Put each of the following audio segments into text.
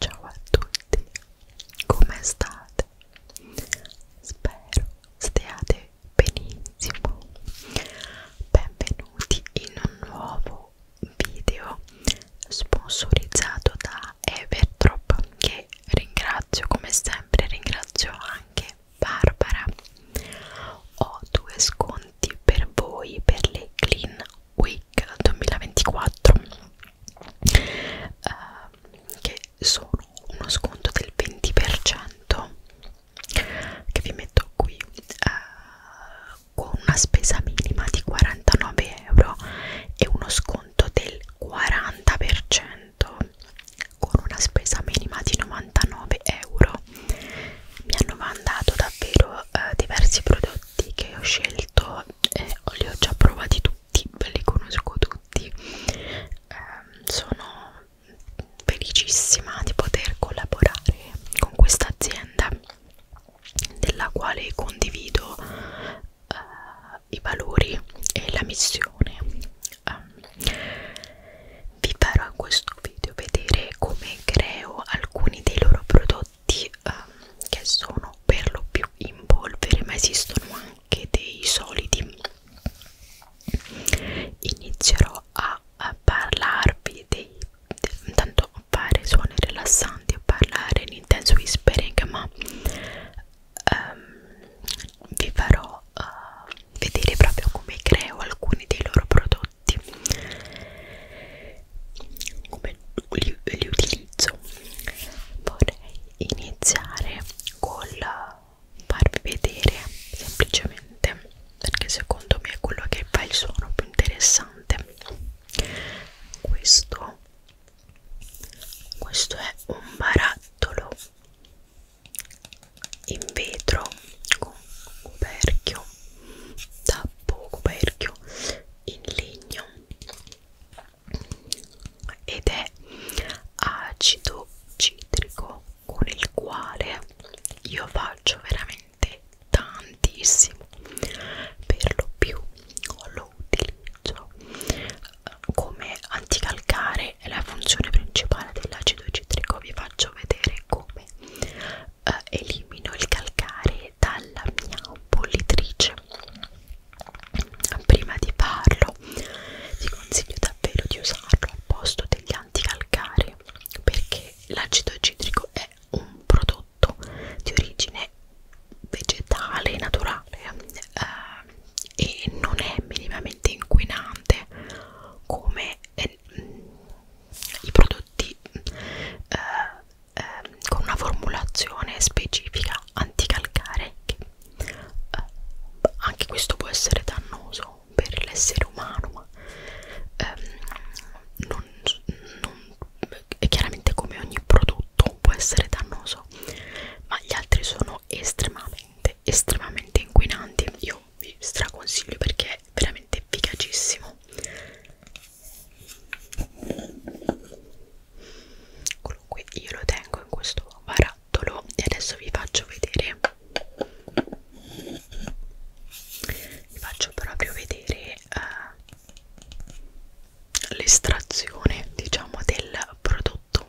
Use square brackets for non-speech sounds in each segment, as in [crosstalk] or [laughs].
Ciao a tutti, come state? Spero stiate benissimo. Benvenuti in un nuovo video sponsorizzato da Everdrop che ringrazio come sempre, ringrazio anche Barbara. Ho due sconti per voi per le Clean Week Week 2024 eh, che sono uno sconto del 20% che vi metto qui eh, con una spesa minima di 49 euro e uno sconto del 40% con una spesa minima di 99 euro mi hanno mandato davvero eh, diversi prodotti che ho scelto eh, li ho già provati tutti, li conosco tutti, eh, sono felicissima di poter collaborare con questa azienda della quale condivido eh, i valori e la missione. Eh, vi farò in questo video vedere come creo alcuni dei loro prodotti di, um, che sono per lo più in polvere ma esistono anche dei solidi inizierò a, a parlarvi dei intanto fare suoni rilassanti a parlare in intense whispering ma um, vi farò uh, vedere proprio come creo alcuni dei loro prodotti come li, li utilizzo vorrei iniziare col farvi vedere semplicemente perché secondo me è quello che fa il suono più interessante questo questo è un barattolo in vetro con coperchio tappo coperchio in legno ed è acido citrico con il quale io faccio veramente tantissimo per lo più lo utilizzo eh, come anticalcare è la funzione principale dell'acido citrico vi faccio vedere come eh, elimino il calcare dalla mia bollitrice prima di farlo ti consiglio davvero di usarlo al posto degli anticalcari perché l'acido citrico è un prodotto di origine vegetale naturale eh, e non è minimamente inquinante come eh, i prodotti eh, ehm, con una formulazione specifica anticalcare che eh, anche questo può essere dannoso per l'essere umano ma ehm, non, non, e chiaramente come ogni prodotto può essere dannoso ma gli altri sono estremamente estremamente inquinanti io vi straconsiglio perché è veramente efficacissimo comunque io lo tengo in questo barattolo e adesso vi faccio vedere vi faccio proprio vedere eh, l'estrazione diciamo del prodotto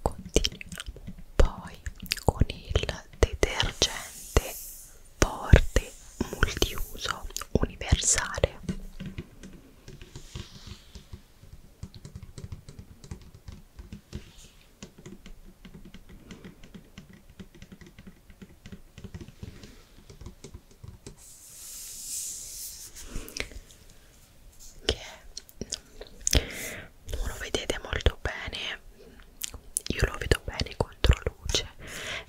continuiamo poi con il detergente forte multiuso universale che è non lo vedete molto bene io lo vedo bene contro luce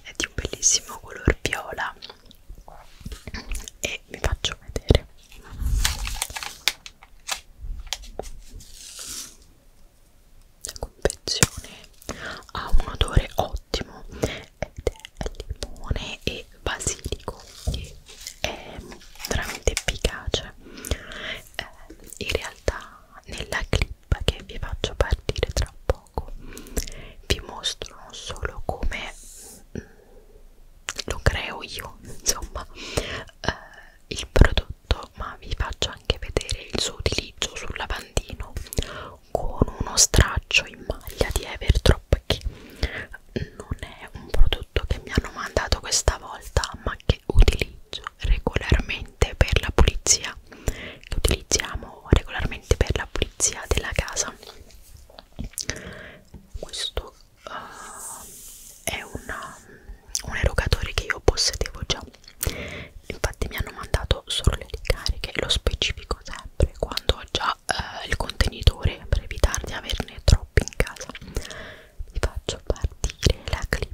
è di un bellissimo color viola e vi faccio vedere la confezione ha un odore ottimo ed è limone e basilico che è veramente efficace eh, in realtà nella clip che vi faccio partire tra poco vi mostro non solo come mh, mm, lo creo io [laughs] insomma eh, il prodotto ma vi faccio anche vedere il suo utilizzo sul lavandino con uno straccio in maglia di Evertrop che non è un prodotto che mi hanno mandato questa volta ma che utilizzo noleggio regolarmente per la pulizia che utilizziamo regolarmente per la pulizia della casa questo uh, è una, un erogatore che io possedevo già infatti mi hanno mandato solo le ricariche lo specifico sempre quando ho già uh, il contenitore per evitare di averne troppi in casa vi faccio partire la clip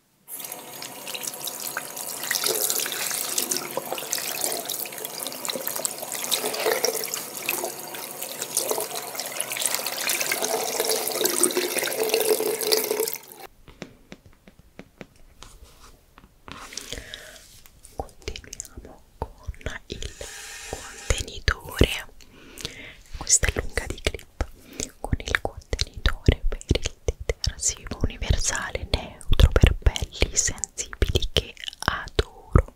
Continuiamo con il contenitore. Questa è lunga di clip con il contenitore per il detersivo universale neutro per pelli sensibili che adoro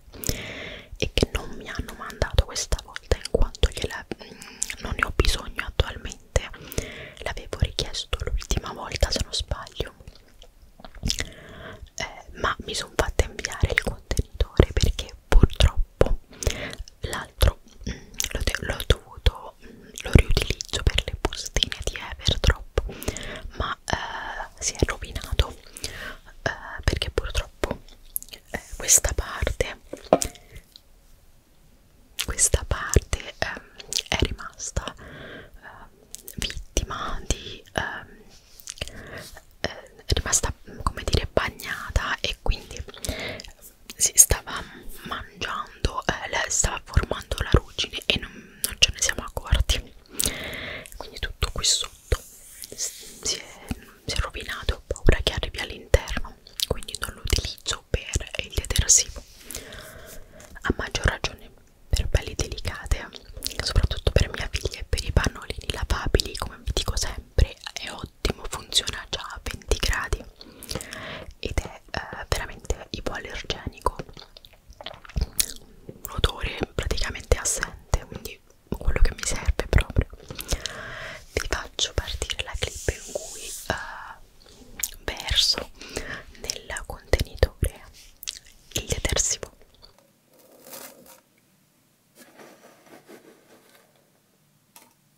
e che non mi hanno mandato questa volta in quanto gliela, mh, mm, non ne ho bisogno attualmente l'avevo richiesto l'ultima volta se non sbaglio eh, ma mi sono fatta inviare il contenitore perché purtroppo l'altro mm, l'ho dovuto io lo riutilizzo per le bustine di Everdrop ma eh, si è rovinato eh, perché purtroppo eh, questa parte questa parte eh, è rimasta eh, vittima di ehm, eh, è rimasta come dire bagnata e quindi si stava mangiando, eh, stava formando la ruggine e non, non ce ne siamo accorti quindi tutto qui sotto si è, si è rovinato ho paura che arrivi all'interno quindi non lo utilizzo per il detersivo a maggior ragione per pelli delicate soprattutto per mia figlia e per i pannolini lavabili come vi dico sempre è ottimo funziona già a 20 gradi ed è è eh, veramente ipoallergenico un odore praticamente assente quindi quello che mi serve proprio vi faccio partire la clip in cui eh, verso nel contenitore il detersivo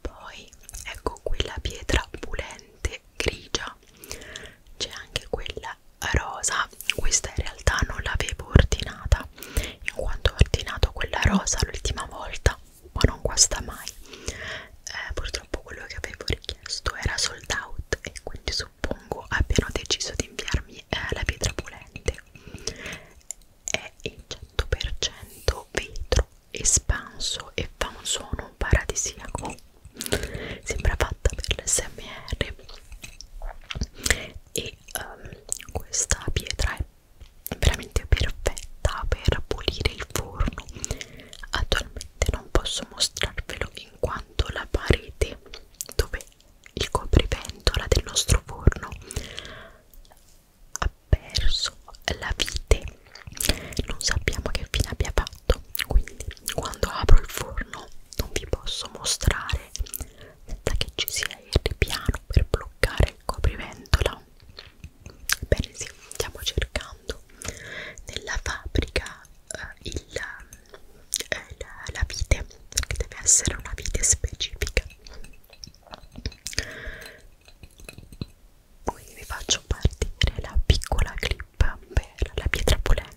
poi ecco qui la pietra pulente grigia c'è anche quella rosa questa in realtà non l'avevo ordinata in quanto ho ordinato quella rosa l'ultima volta ma non guasta mai eh, purtroppo quello che avevo richiesto era sold out e quindi suppongo abbiano deciso di inviarmi eh, la pietra pulente è il 100% vetro espanso e fa un suono paradisiaco sembra fatta per l'SMR e um, questa pietra è veramente perfetta per pulire il forno attualmente non posso mostrarvelo in quanto la parete dove il copriventola del nostro forno ha perso la vite non sappiamo che fine abbia fatto quindi quando apro il forno non vi posso mostrare senza che ci sia il ripiano per bloccare il copriventola bene sì stiamo cercando nella fabbrica eh, il, eh, la, la vite che deve essere una vite specifica qui vi faccio partire la piccola clip per la pietra pulente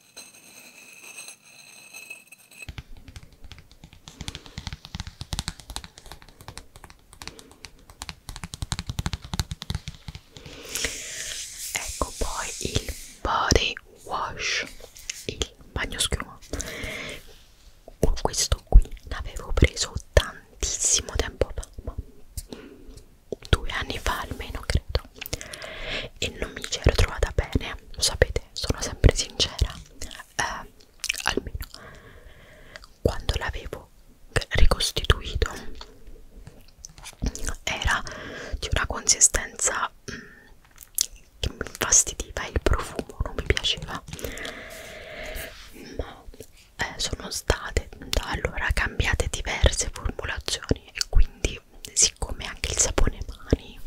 Ecco poi il body wash, il bagno schiuma. Questo qui l'avevo preso tantissimo tempo fa, due anni fa almeno credo, e non mi c'ero trovata bene lo sapete, sono sempre sincera, eh, almeno quando l'avevo ricostituito era di una consistenza mm, che mi infastidiva il profumo, non mi piaceva ma eh, sono state da allora cambiate diverse formulazioni e quindi poi siccome anche il sapone mani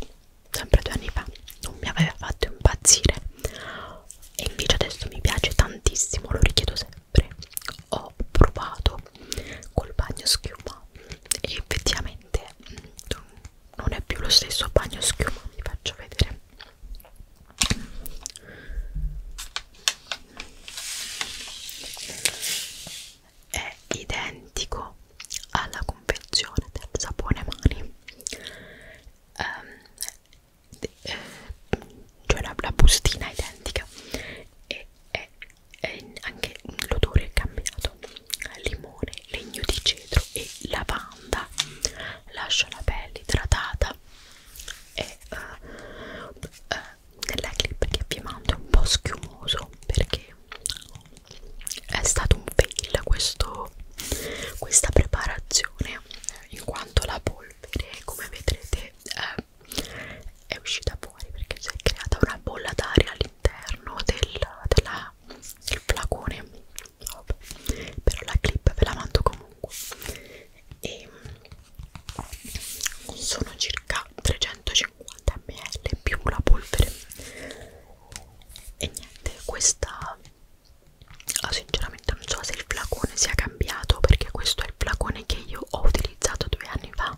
sempre due anni fa non mi aveva fatto impazzire e invece adesso mi piace tantissimo lo richiedo sempre ho provato col bagno schiuma e effettivamente mm, non è più lo stesso bagno schiuma vi faccio vedere è identico alla confezione del sapone mani um, eh, cioè la, la bustina è identica e è, è anche l'odore è cambiato limone, legno di cedro e lavanda lascia la pelle idratata e uh, eh, uh, eh, nella clip che vi mando è un po' schiumoso perché è stato un fail questo, questa preparazione in quanto la polvere come vedrete eh, è uscita fuori perché si è creata una bolla d'aria all'interno del, del flacone però la clip ve la mando comunque e sono circa 350 ml più la polvere e niente questa ah, sinceramente non so se il flacone sia cambiato perché questo è il flacone che io ho utilizzato due anni fa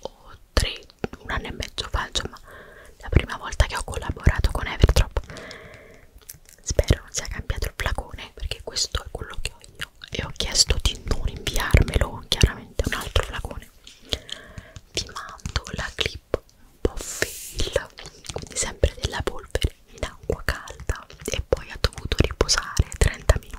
o tre un anno e mezzo fa insomma la prima volta che ho collaborato con Everdrop spero non sia cambiato il flacone perché questo è quello che ho io e ho chiesto di non inviarmelo chiaramente un altro flacone ti mando la clip po' fail quindi sempre della polvere in acqua calda e poi ha dovuto riposare 30 minuti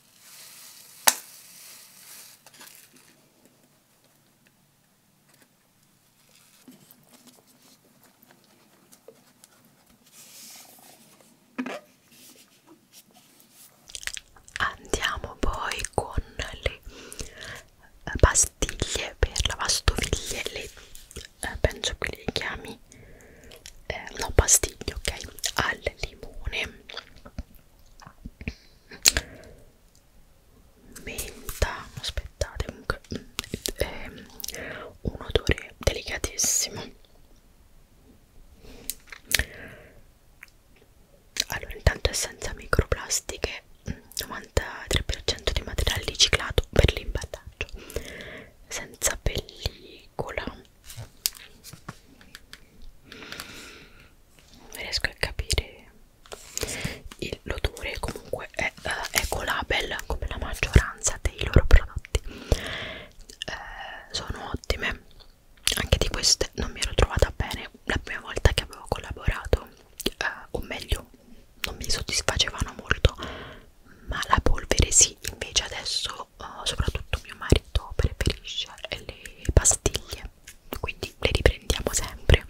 Andiamo poi con le pastiglie per lavastoviglie, le, eh, penso che le chiami, eh, no pastiglie, ok, al limone menta aspettate comunque è un odore delicatissimo allora intanto è senza microplastiche 93% di materiale riciclato per l'imballaggio senza pellicola riesco a capire l'odore comunque è uh, eh, ecolabel come la maggioranza dei loro prodotti uh, sono ottime anche di queste non mi ero trovata bene la prima volta che avevo collaborato uh, o meglio non mi soddisfacevano molto ma la polvere sì invece adesso uh, soprattutto mio marito preferisce le pastiglie quindi le riprendiamo sempre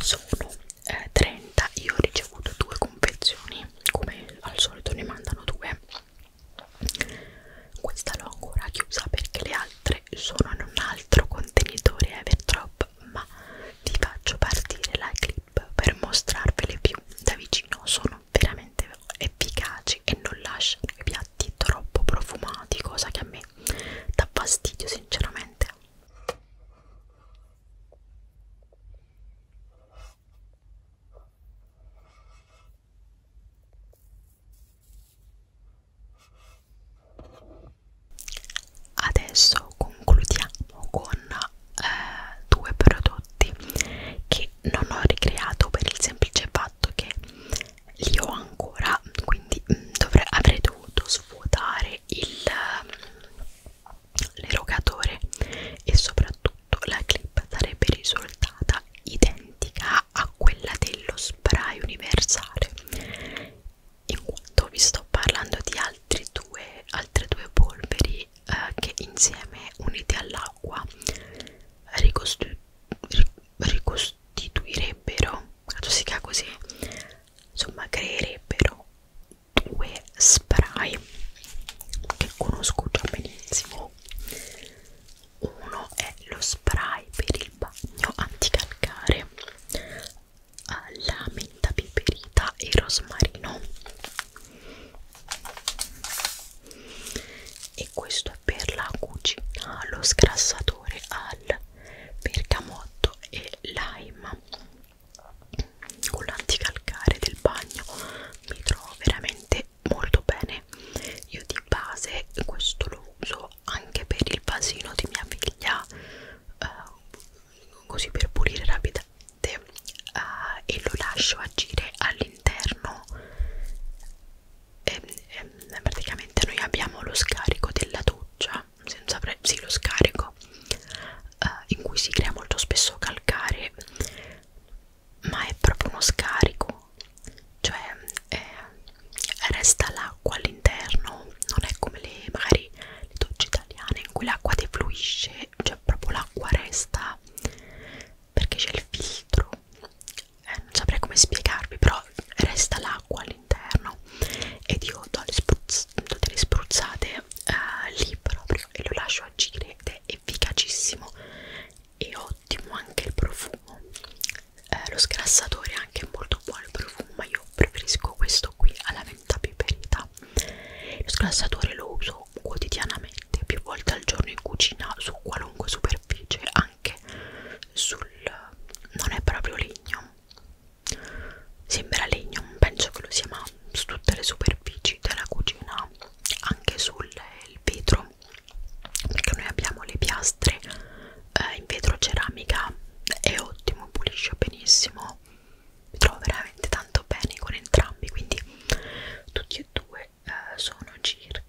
sono eh, 30 io ho ricevuto due confezioni come al solito ne mandano due questa l'ho ancora chiusa perché le altre sono in un altro contenitore eh, Everdrop ma ti faccio partire la clip per mostrarvele più da vicino sono veramente efficaci e non lasciano i piatti troppo profumati, cosa che a me dà fastidio sinceramente. Adesso concludiamo con eh, due prodotti fatti che non ho ricreato per il semplice fatto che li ho ancora quindi mm, dovrei, avrei dovuto svuotare l'erogatore e soprattutto la clip sarebbe risultata identica a quella dello spray universale in quanto vi sto parlando di altri due, altre due polveri eh, che insieme unite all'acqua ricostituiscono ricostituirebbero, dato si chiama così, insomma creerebbero due spray che conosco già benissimo. Uno è lo spray per il bagno anticalcare alla menta piperita e rosmarino e questo per la cucina, lo sgrassatore al bergamotto e lime con l'anticalcare del bagno mi trovo veramente molto bene io di base questo lo uso anche per il vasino di mia figlia eh, così per pulire rapidamente eh, e lo lascio agire all'interno e, ehm, e, ehm, praticamente noi abbiamo lo scarico della doccia senza pre sì lo scarico eh, in cui si crea molto spesso calcare ma è proprio uno scarico cioè eh, resta l'acqua all'interno non è come le magari le docce italiane in cui l'acqua defluisce cioè proprio l'acqua resta perché c'è il filtro eh, non saprei come spiegarvi però resta l'acqua all'interno ed io do le, spruzz do delle spruzzate eh, lì proprio e lo lascio agire ed è efficacissimo e ottimo anche il profumo eh, lo sgrassatore è anche molto buono il profumo ma io preferisco questo qui alla venta piperita lo sgrassatore lo uso uso quotidianamente più volte al giorno in cucina su qualunque superficie anche sul non è proprio legno sembra legno penso che lo sia ma su tutte le superfici della cucina anche sul eh, vetro perché noi abbiamo le piastre eh, in vetro ceramica è ottimo pulisce benissimo mi trovo veramente tanto bene con entrambi quindi tutti e due eh, sono circa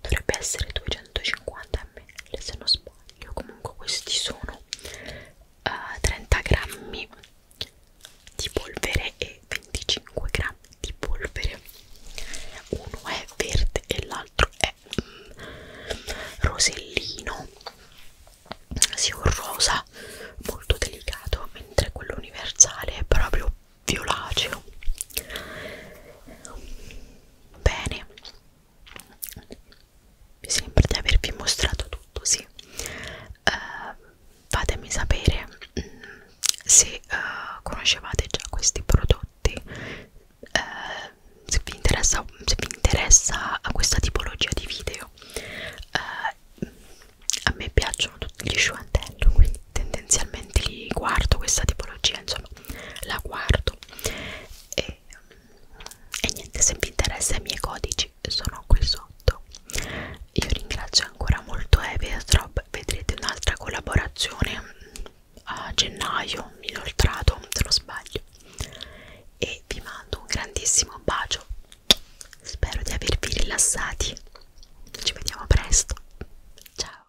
dovrebbe essere 250 ml se non sbaglio comunque questi sono eh, 30 grammi di polvere e 25 grammi di polvere uno è verde e l'altro è mm, rosellino sì, un rosa rosa molto delicato mentre quello universale è proprio violaceo bene mi sembra di avervi mostrato tutto sì uh, fatemi sapere mm, se uh, conoscevate già questi prodotti uh, se, vi interessa, se vi interessa questa tipologia di video uh, a me piacciono tutti gli sciuantello quindi tendenzialmente li guardo questa tipologia insomma la guardo e, e niente se vi interessa i miei codici sono qui sotto io ringrazio ancora molto Eviatrop vedrete un'altra collaborazione a gennaio inoltrato se non sbaglio e vi mando un grandissimo bacio Spero di avervi rilassati. Ci vediamo presto. Ciao.